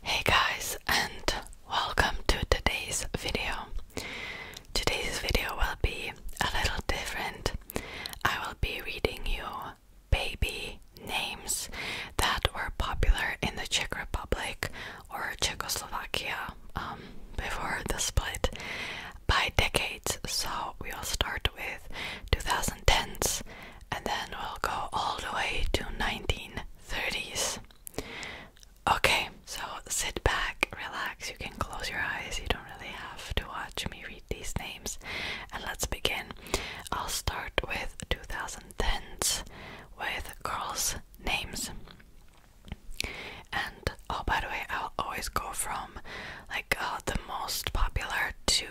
Hey guys and welcome to today's video. Today's video will be a little different. I will be reading you baby names that were popular in the Czech Republic or Czechoslovakia um, before the split by decades. So we will start with 2010s and then we'll go all the way to 1930s. Okay, so sit back, relax, you can close your eyes, you don't really have to watch me read these names, and let's begin. I'll start with 2010s with girls' names. And oh, by the way, I'll always go from like uh, the most popular to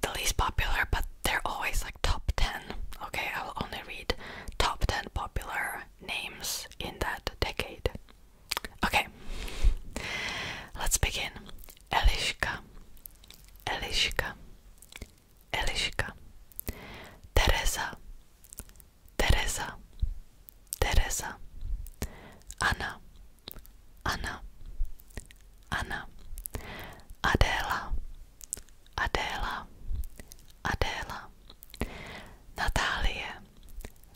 the least popular, but they're always like top 10. Okay, I will only read top 10 popular names in that decade. Okay, let's begin. Eliška, Eliška, Eliška, Teresa, Teresa, Teresa, Anna, Anna, Anna, Adela, Adéla, Adéla, Natálie,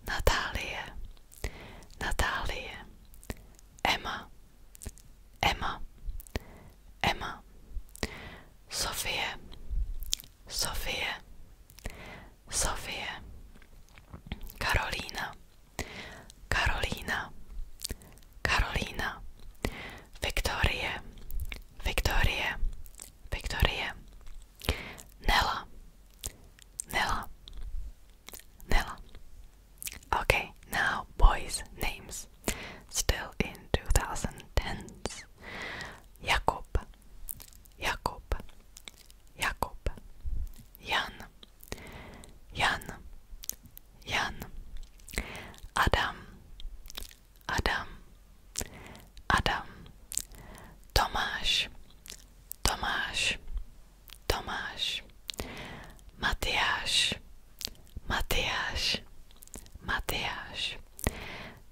Natálie, Natálie, Emma, Emma, Emma, Sofie, Sofie, Sofie, Karolína, Karolina, Karolina, Victoria, Victoria, Victoria, Nella, Nella, Nella. Okay, now boys' names. Still in 2010s. Jakob, Jakob, Jakob, Jan, Jan, Jan, Adam, Adam, Adam, Tomáš, Tomáš, Tomáš, Matiáš, Matiáš, Matiáš,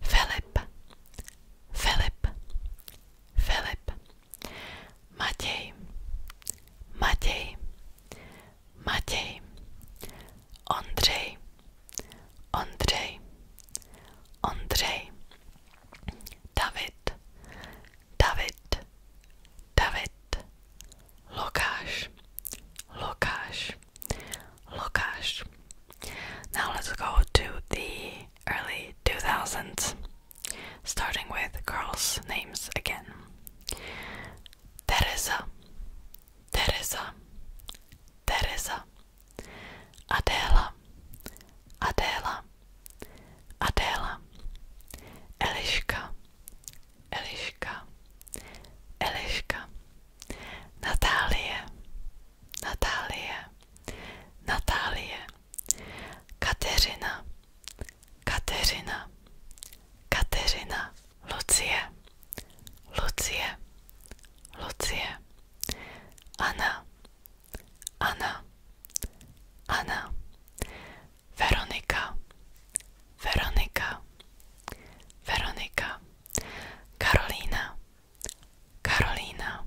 Filip, Filip, Filip, Matej, Matej, Matej, Andrzej, Andrzej, Andrzej, Dawid, Dawid, Dawid, Lukasz, Lukasz, Lukasz. Now let's go to the early 2000s, starting with girls' names again. Teresa, Teresa, Teresa, Adela, Eliška, Eliška, Eliška, Natálie, Natálie, Natálie, Kateřina, Kateřina, Kateřina. Lucie, Lucie, Lucie, Anna, Anna, Anna, Veronika, Veronika, Veronika, Karolina, Karolina,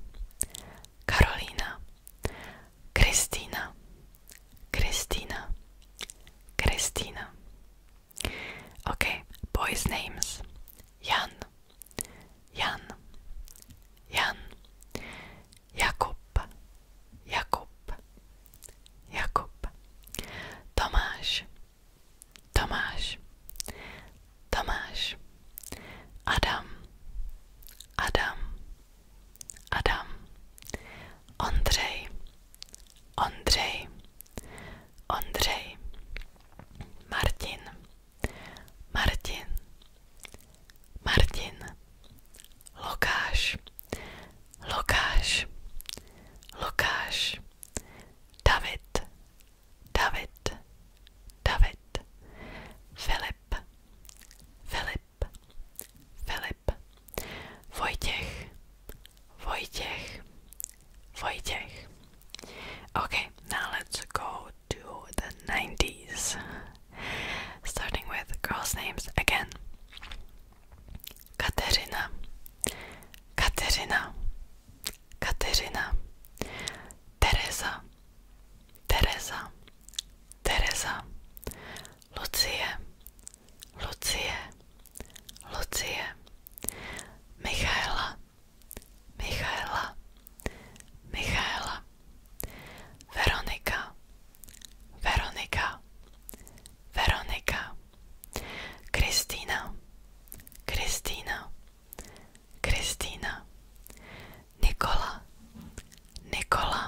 Karolina, Kristína, Christina, Christina. Okay, boys' names Jan, Jan, Jan, Jakub, Jakub, Jakub, Tomáš, Tomáš, Tomáš, Adam, Adam, Adam, Ondřej, Ondřej, Ondřej, Martin, Martin, Martin, Lukáš, Lukáš, Lukáš, David, David, David, Filip, Filip, Filip, Vojtěch, Wojciech, Wojciech. Okay, now let's go to the 90s. Starting with girls' names again. Katerina, Katerina, Katerina, Teresa, Teresa, Teresa, Lucia, Lucie, Lucie, Michaela, Michaela, Michaela, Veronika, Veronika, Veronika, Kristína, Kristína, Kristína, Nikola, Nikola,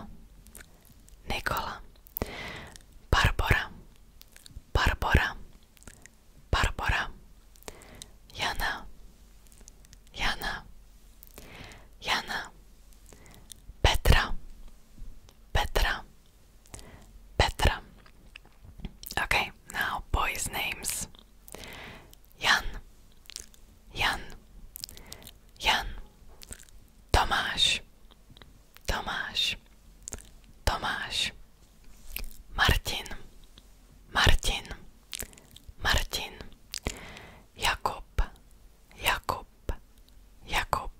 Nikola Barbora Barbora Barbora Jana Jana Jana Petra Petra Petra Okay, now boys' names Jan Jan Jan Tomáš Tomáš, Tomáš, Martin, Martin, Martin, Jakub, Jakub, Jakub,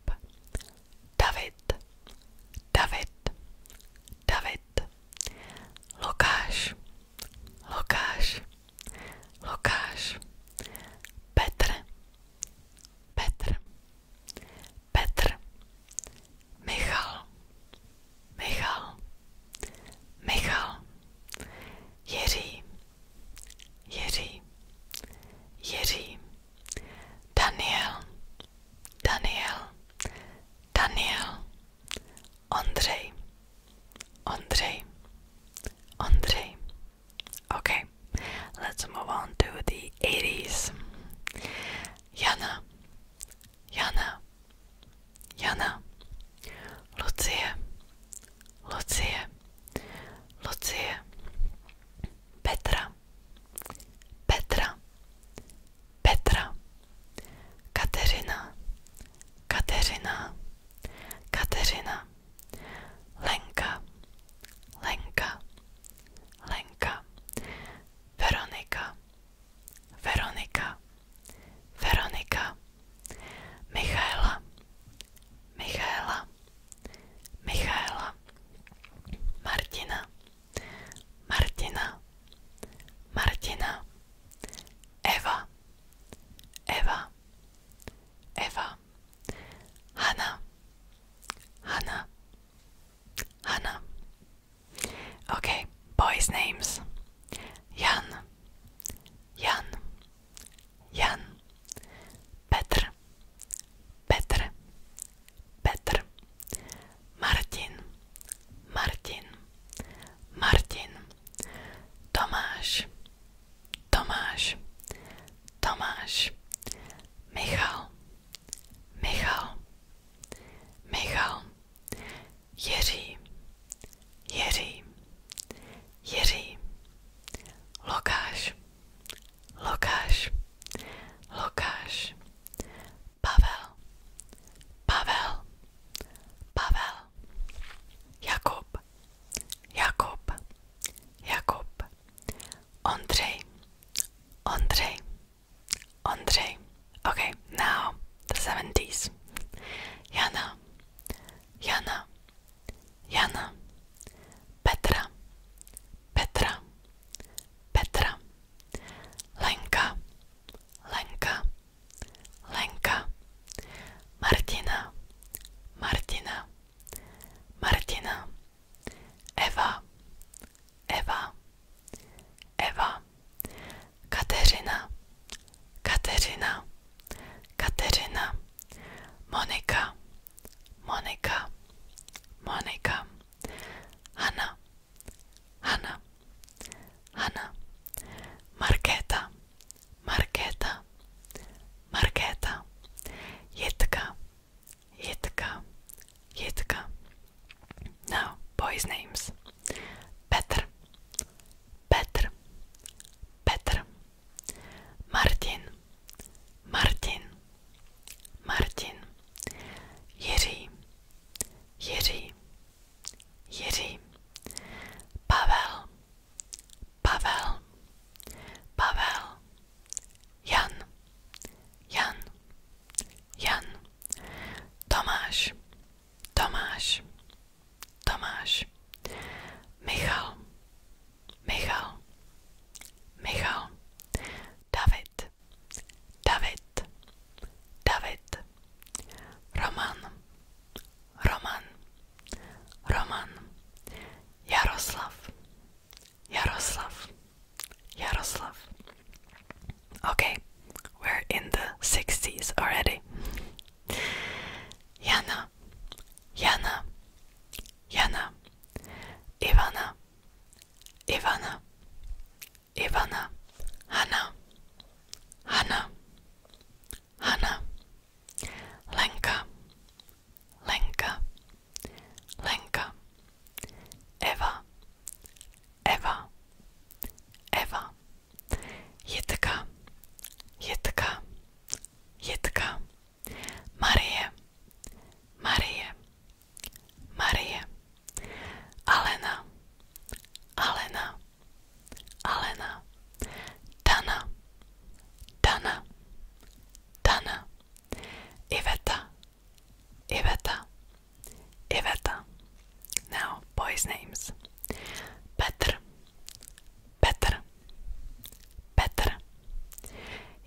David, David, David, Lukáš, Lukáš, Lukáš, Petr, Petr, Petr Michal Michal Michal Jiří Jiří Jiří Daniel Daniel Daniel Ondřej Ondřej Ondřej Okay, let's move on to the 80s. Jana, Jana, Jana, Lucia, Lucia, Lucia, Petra, Petra, Petra, Katerina, Katerina, Katerina, Lenka, Lenka. Lenka Veronika Veronika Veronika Michaela Michaela Michaela Martina Martina Martina Eva Eva Eva Hanna Hanna Hannah. Okay, boys' names Jan, Jan, Jan, Petr, Petr, Petr, Martin, Martin, Martin, Tomáš, Tomáš, Tomáš, Michal, Michal, Michal, Jiří, Jiří, Jiří, Lukáš, Lukáš, Lukáš, Pavel, Pavel, Pavel, Jakub, Jakub, Jakub, Ondřej, Andrei. Andrei. Okay, now the 70s. Jana. Jana. Jana. Petra. Petra. Petra. Lenka. Lenka. Lenka. Martina. Martina. Martina. Eva, Eva, Eva, Kateřina, Kateřina, Kateřina, Monika, Monika, Monika, Hanna, Hanna, Hanna, Markéta, Markéta, Markéta, Jitka, Jitka, Jitka. Now, boys' names. Petr, Petr, Petr. Martin, Martin, Martin. Jiří, Jiří, Jiří. Pavel, Pavel, Pavel. Jan, Jan, Jan, Tomáš, Tomáš, Tomáš, Michal, Michal, Michal, David, David, David, Roman, Roman, Roman, Jaroslav, Yaroslav. Yaroslav. Okay, we're in the 60s already. Yana, Yana, Yana, Ivana, Ivana, Ivana, Hanna, Hanna, Hanna, Lenka, Lenka, Lenka Eva Eva Eva Jitka Jitka Jitka Marie Marie Marie Alena Alena Alena Dana Dana Dana Iveta, Iveta, Iveta. Now, boys' names. Petr, Petr, Petr.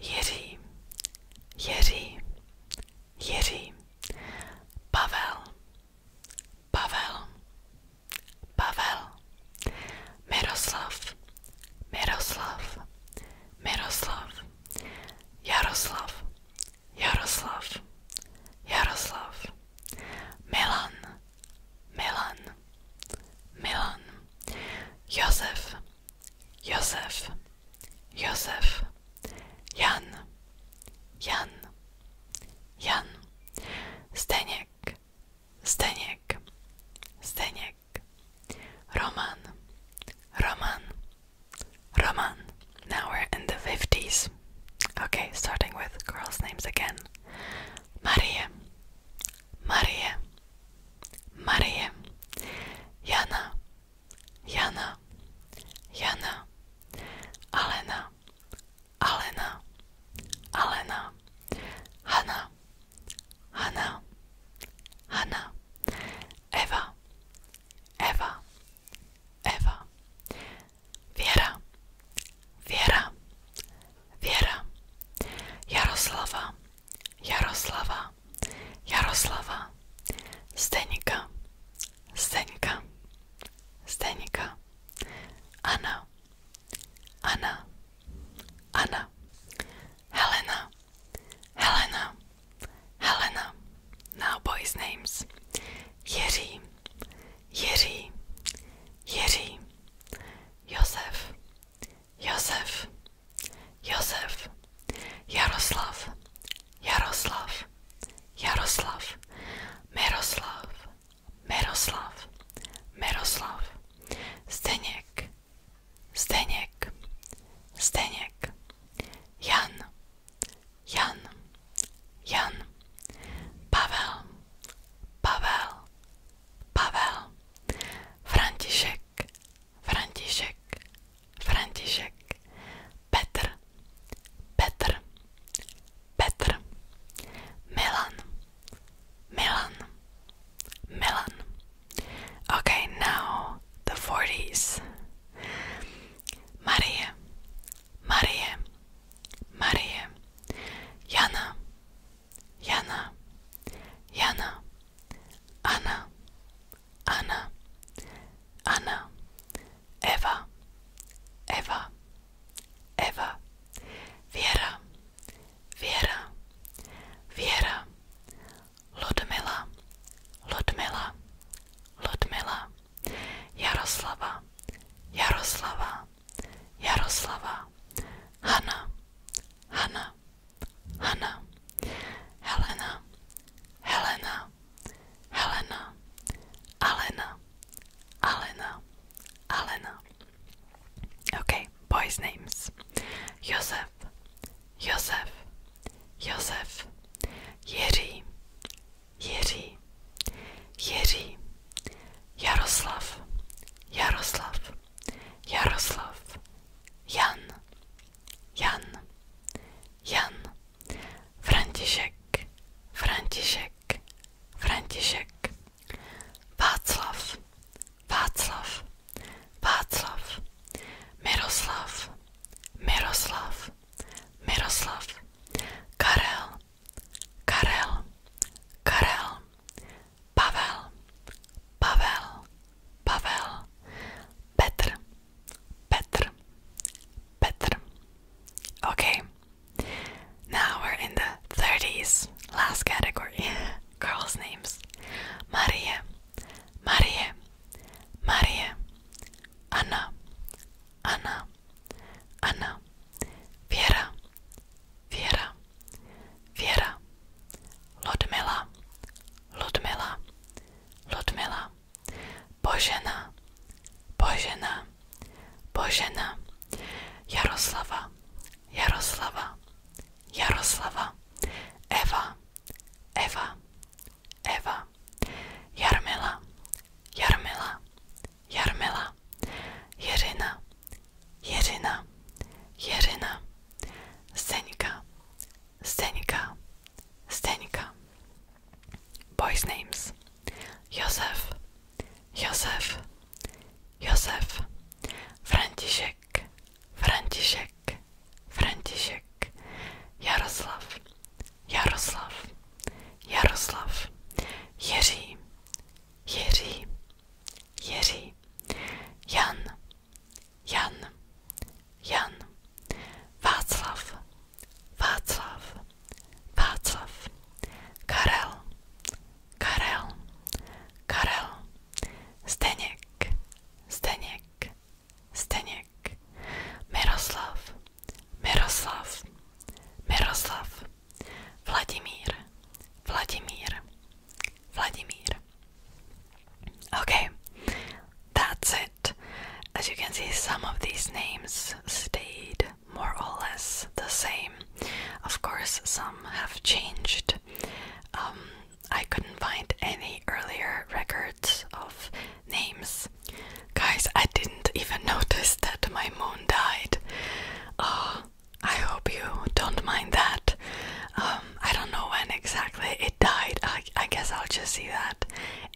Jiří, Jiří, Pavel, Pavel, Pavel. Miroslav, Miroslav, Miroslav. Jaroslav, Jaroslav, Jaroslav, Milan, Milan, Milan, Josef, Josef, Josef, Jan, Jan, Jan, Zdeněk, Zdeněk, Zdeněk. Nick, Roman, Roman, Roman. Now we're in the 50s. Okay, starting with girls' names again. Maria, Maria, Maria, Yana, Yana, Yana, Alena, Alena, Alena, Hanna, Hanna, Hanna, Eva, Eva, Eva, Viera, Viera, Viera, Jaroslava, Jaroslava, Jaroslava, Stenika, Stenika, Stenika, Anna, Anna, Anna. Helena, Helena, Helena. Now boys' names. Jiří, Jiří, Jiří. Josef, Josef, Josef. Jaroslav, Jaroslav, Jaroslav. Miroslav, Miroslav, Miroslav. Zdeněk, Zdeněk, Zdeněk, Jan, Jan, Jan, Pavel, Pavel, Pavel, František, František, František, Petr, Petr, Petr, Milan, Milan, Milan, Okay, now the 40s. Marie, Marie, Marie, Jana, Jana, Jana, Anna, Anna, Anna, Eva, Eva, Eva, Vera, Vera, Vera, Ludmila, Ludmila, Ludmila, Jaroslava, Jaroslava, Jaroslava, Hanna, Hanna, Hanna, Helena, Helena, Helena, Alena, Alena, Alena. Okay. boys' names Josef, Josef, Josef, Yeri, Yeri, Yeri, Yaroslav, Yaroslav, Yaroslav, Jan, Jan, Jan, František, František, František, Václav, Václav, Václav, Miroslav, Miroslav, Miroslav, Karel, Karel, Karel, Pavel, Pavel, Pavel, Petr, Petr, Petr. Okay, now we're in the 30s, last category girls' names Maria, Marie, Marie, Anna, Anna, Anna, Viera, Viera, Viera, Ludmila, Ludmila, Ludmila, Božena, Božena, Božena, Jaroslava, Jaroslava, Jaroslava, Eva, Eva, Eva, Jarmela, Jarmela, Jarmela, Jerina, Jerina, Jerina, Senika, Senika, Senika. Boys' names Josef, Josef, Josef, Franciszek, František, František, Jaroslav, Jaroslav, Jaroslav, Jiří, Jiří, Jiří, Jan, Jan, Jan, Václav, Václav, Václav, Karel, Karel, Karel, Staniek, Staniek, Staniek, Miroslav, Miroslav, Miroslav, Vladimir, Vladimir, Vladimir. Okay, that's it. As you can see, some of these names stayed more or less the same. Of course, some have changed. Um, I couldn't find any earlier records of names. Guys, I didn't even notice that my moon died. Oh, I hope you don't mind that. Um, I don't know when exactly it died. I, I guess I'll just see that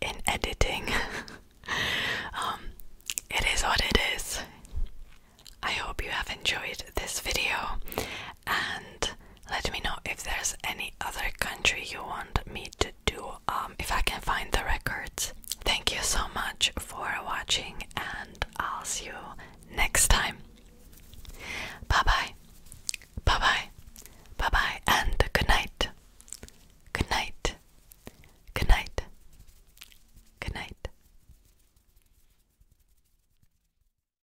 in editing. um, it is odd. it is. I hope you have enjoyed this video and let me know if there's any other country you want me to do um if I can find the records. Thank you so much for watching and I'll see you next time. Bye bye. Bye bye. Bye bye and good night. Good night. Good night. Good night.